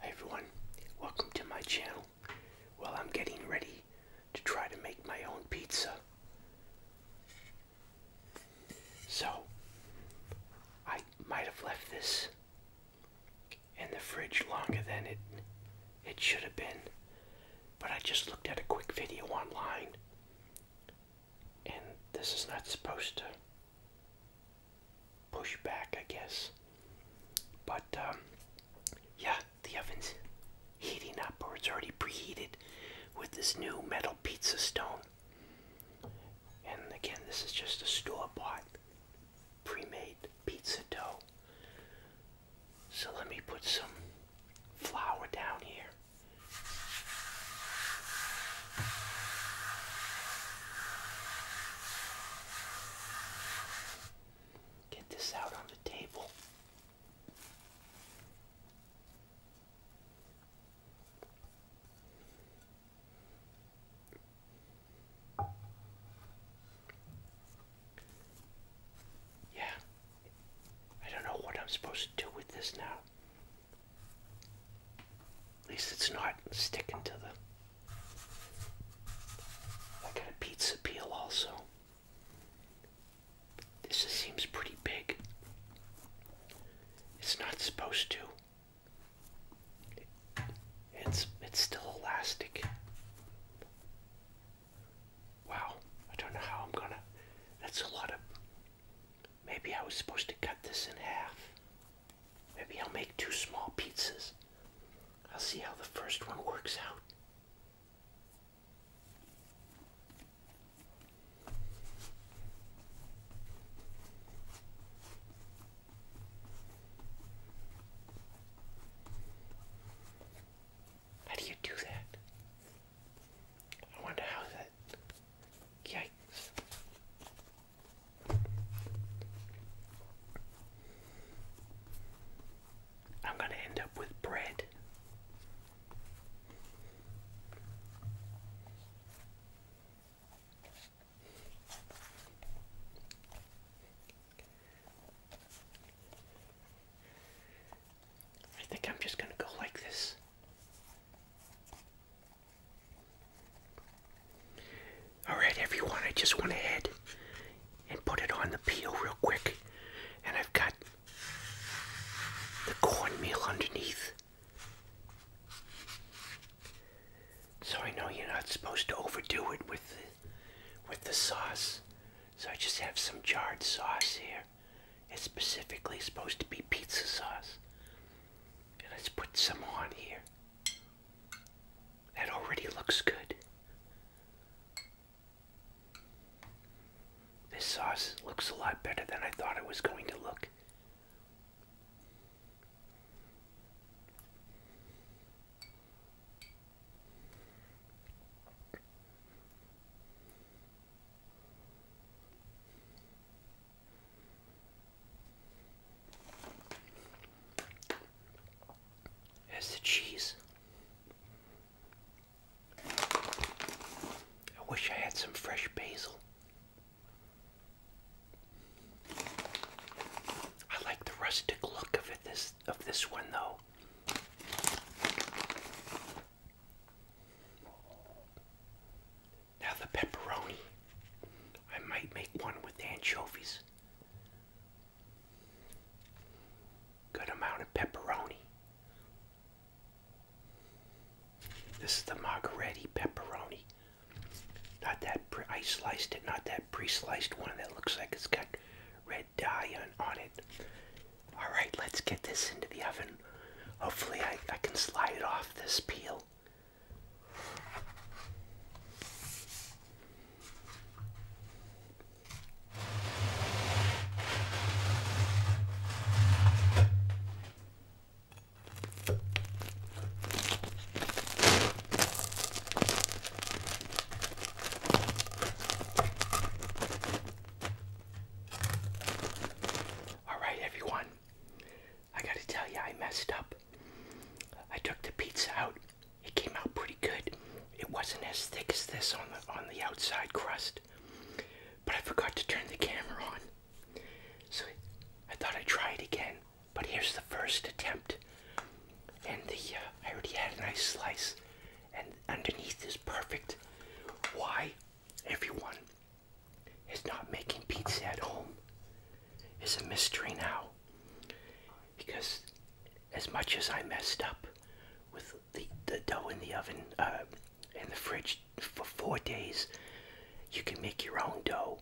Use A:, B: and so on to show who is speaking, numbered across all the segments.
A: Hey everyone, welcome to my channel. Well, I'm getting ready to try to make my own pizza. So, I might have left this in the fridge longer than it it should have been. But I just looked at a quick video online and this is not supposed to push back, I guess. But um, yeah, the oven's heating up, or it's already preheated with this new metal pizza stone. And again, this is just a store bought, pre made pizza dough. So let me put some flour down here. Get this out on the table. Yeah, I don't know what I'm supposed to do with this now. At least it's not sticking to the. I got a pizza peel also. This seems pretty big. It's not supposed to. It's it's still elastic. Wow, I don't know how I'm gonna. That's a lot of. Maybe I was supposed to cut this in half. Maybe I'll make two small pizzas. I'll see how the first one works out. How do you do that? I wonder how that. Yikes. I'm going to end up with bread. I think I'm just going to go like this. Alright, everyone, I just went ahead and put it on the peel real quick. And I've got the cornmeal underneath. So I know you're not supposed to overdo it with with the sauce. So I just have some jarred sauce here. It's specifically supposed to be pizza sauce. And let's put some on here. That already looks good. This sauce looks a lot better than I thought it was going to look. Here's the cheese. I wish I had some fresh basil. I like the rustic look of it this of this one though. Now the pepperoni. I might make one with anchovies. Good amount of pepperoni. This is the margaretti pepperoni. Not that I sliced it, not that pre-sliced one that looks like it's got red dye on, on it. Alright, let's get this into the oven. Hopefully I, I can slide it off this peel. All right, everyone. I gotta tell you, I messed up. I took the pizza out. It came out pretty good. It wasn't as thick as this on the on the outside crust, but I forgot to turn the camera on. So I thought I'd try it again. But here's the first attempt, and the uh, I already had a nice slice, and underneath is perfect. Why, everyone? is not making pizza at home is a mystery now. Because as much as I messed up with the, the dough in the oven uh, in the fridge for four days, you can make your own dough.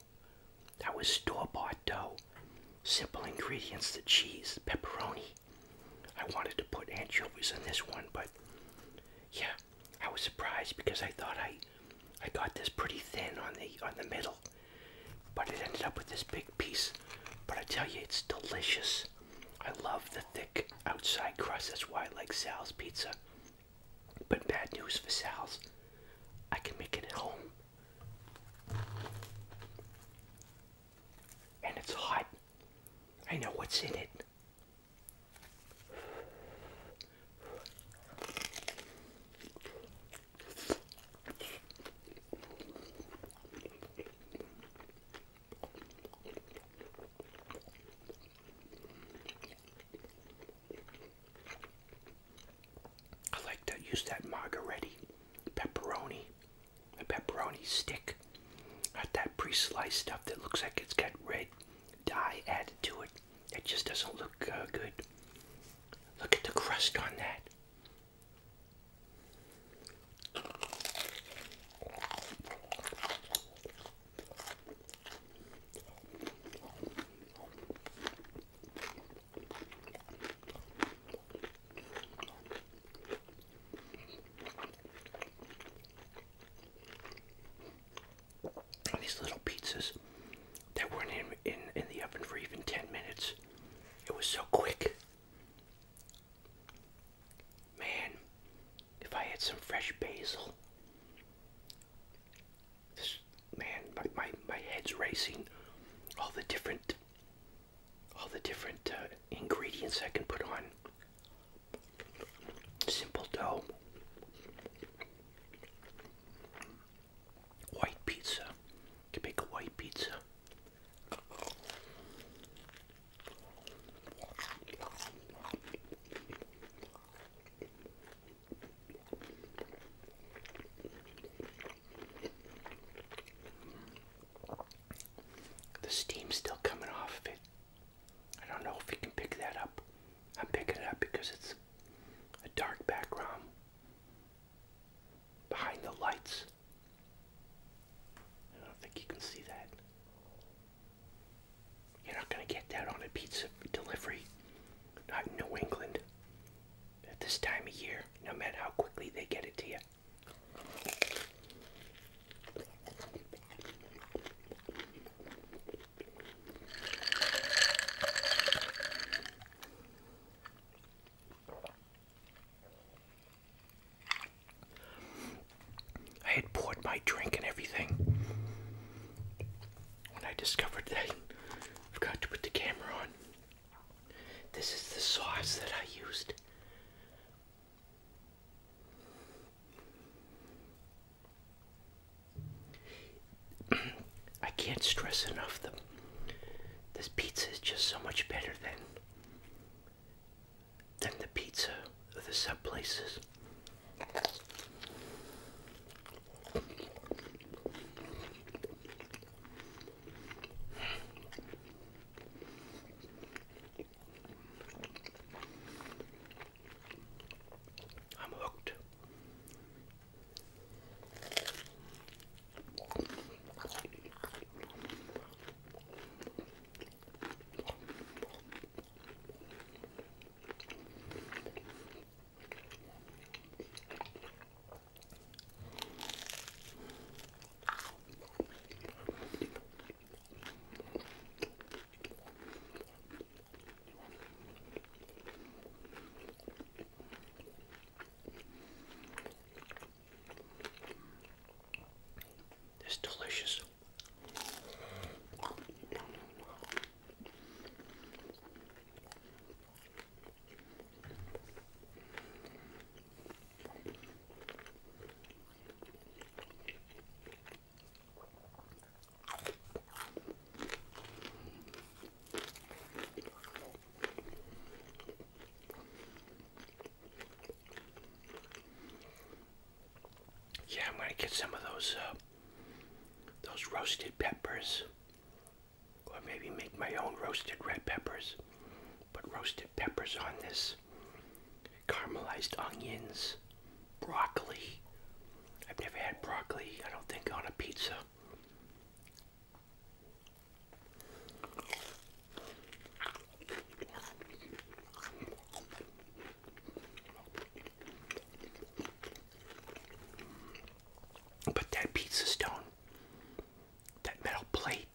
A: That was store-bought dough. Simple ingredients, the cheese, pepperoni. I wanted to put anchovies in this one, but yeah, I was surprised because I thought I I got this pretty thin on the on the middle, but it ended up with this big piece. But I tell you, it's delicious. I love the thick outside crust. That's why I like Sal's pizza. But bad news for Sal's, I can make it at home. And it's hot. I know what's in it. I like to use that margaretti pepperoni, a pepperoni stick. Not that pre-sliced stuff that looks like it's got red dye added to it. It just doesn't look uh, good. Look at the crust on that these little pizzas that weren't in, in, in the oven for even 10 minutes. It was so quick. Man, if I had some fresh basil, man, my, my, my head's racing. All the different, all the different uh, ingredients I can put on Simple dough. White pizza. You make a white pizza. The steam's still coming off of it. I don't know if you can pick that up. I'm picking it up because it's a dark background behind the lights. I don't think you can see that. You're not going to get that on a pizza delivery, not in New England, at this time of year, no matter how quickly they get it to you. I had poured my drink and everything when I discovered that forgot to put the camera on. This is the sauce that I used. I can't stress enough that this pizza is just so much better than than the pizza of the sub places. I'm hooked. This is delicious. Yeah, I'm gonna get some of those uh, those roasted peppers, or maybe make my own roasted red peppers. Put roasted peppers on this caramelized onions, broccoli. I've never had broccoli, I don't think, on a pizza. But that pizza stone, that metal plate,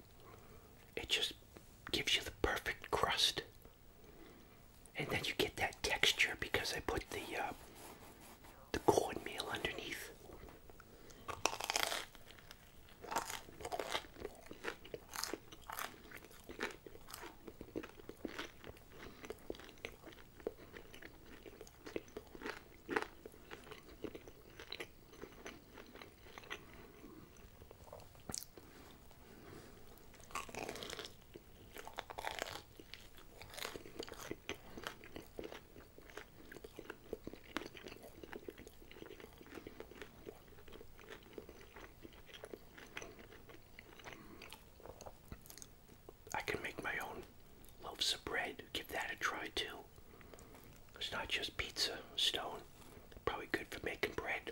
A: it just gives you the perfect crust and then you get that texture because I put the uh, the cornmeal underneath. I can make my own loaves of bread. Give that a try too. It's not just pizza stone. Probably good for making bread.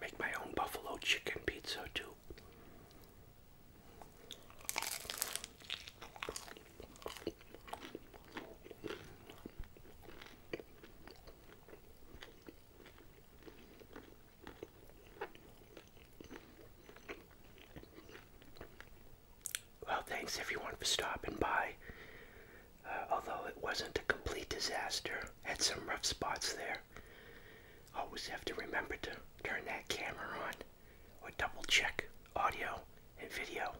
A: Make my own buffalo chicken pizza too. Well, thanks everyone for stopping by. Uh, although it wasn't a complete disaster, had some rough spots there. Always have to remember to turn that camera on or double check audio and video.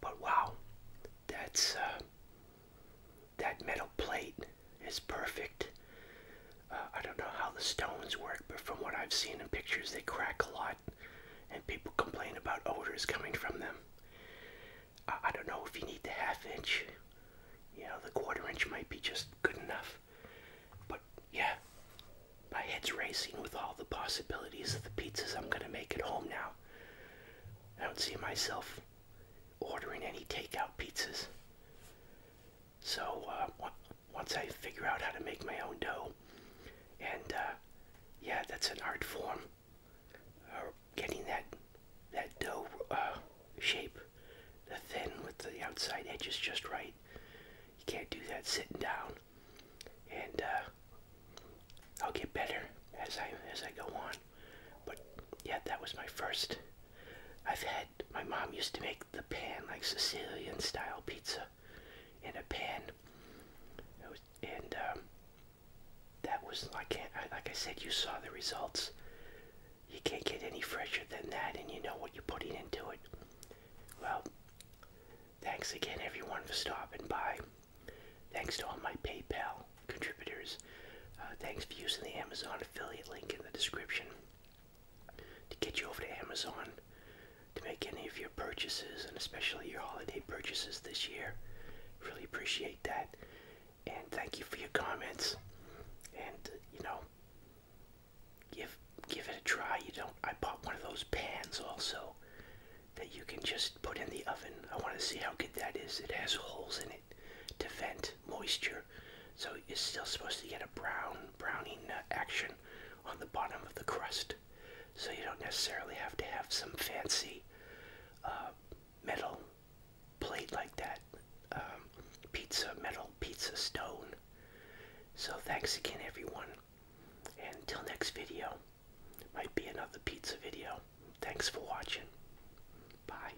A: But wow, that's uh, that metal plate is perfect. Uh, I don't know how the stones work, but from what I've seen in pictures, they crack a lot, and people complain about odors coming from them. I don't know if you need the half inch. You know, the quarter inch might be just good enough. But yeah, my head's racing with all the possibilities of the pizzas I'm gonna make at home now. I don't see myself ordering any takeout pizzas. So uh, once I figure out how to make my own dough, and uh, yeah, that's an art form. Uh, getting that that dough uh, shape, the thin with the outside edges just right. You can't do that sitting down. And I'll get better as I as I go on. But yeah, that was my first. I've had my mom used to make the pan like Sicilian style pizza in a pan. and um, that was like I, like I said, you saw the results. You can't get any fresher than that, and you know what you're putting into it. Well, thanks again, everyone, for stopping by. Thanks to all my PayPal contributors. Uh, thanks for using the Amazon affiliate link in the description to get you over to Amazon to make any of your purchases and especially your holiday purchases this year. Really appreciate that. And thank you for your comments. And uh, you know, give give it a try. You don't I bought one of those pans also that you can just put in the oven. I want to see how good that is. It has holes in it to vent moisture, so you're still supposed to get a brown browning action on the bottom of the crust. So you don't necessarily have to have some fancy uh, metal plate like that, um, pizza metal pizza stone. So thanks again, everyone, and till next video, might be another pizza video. Thanks for watching. Bye.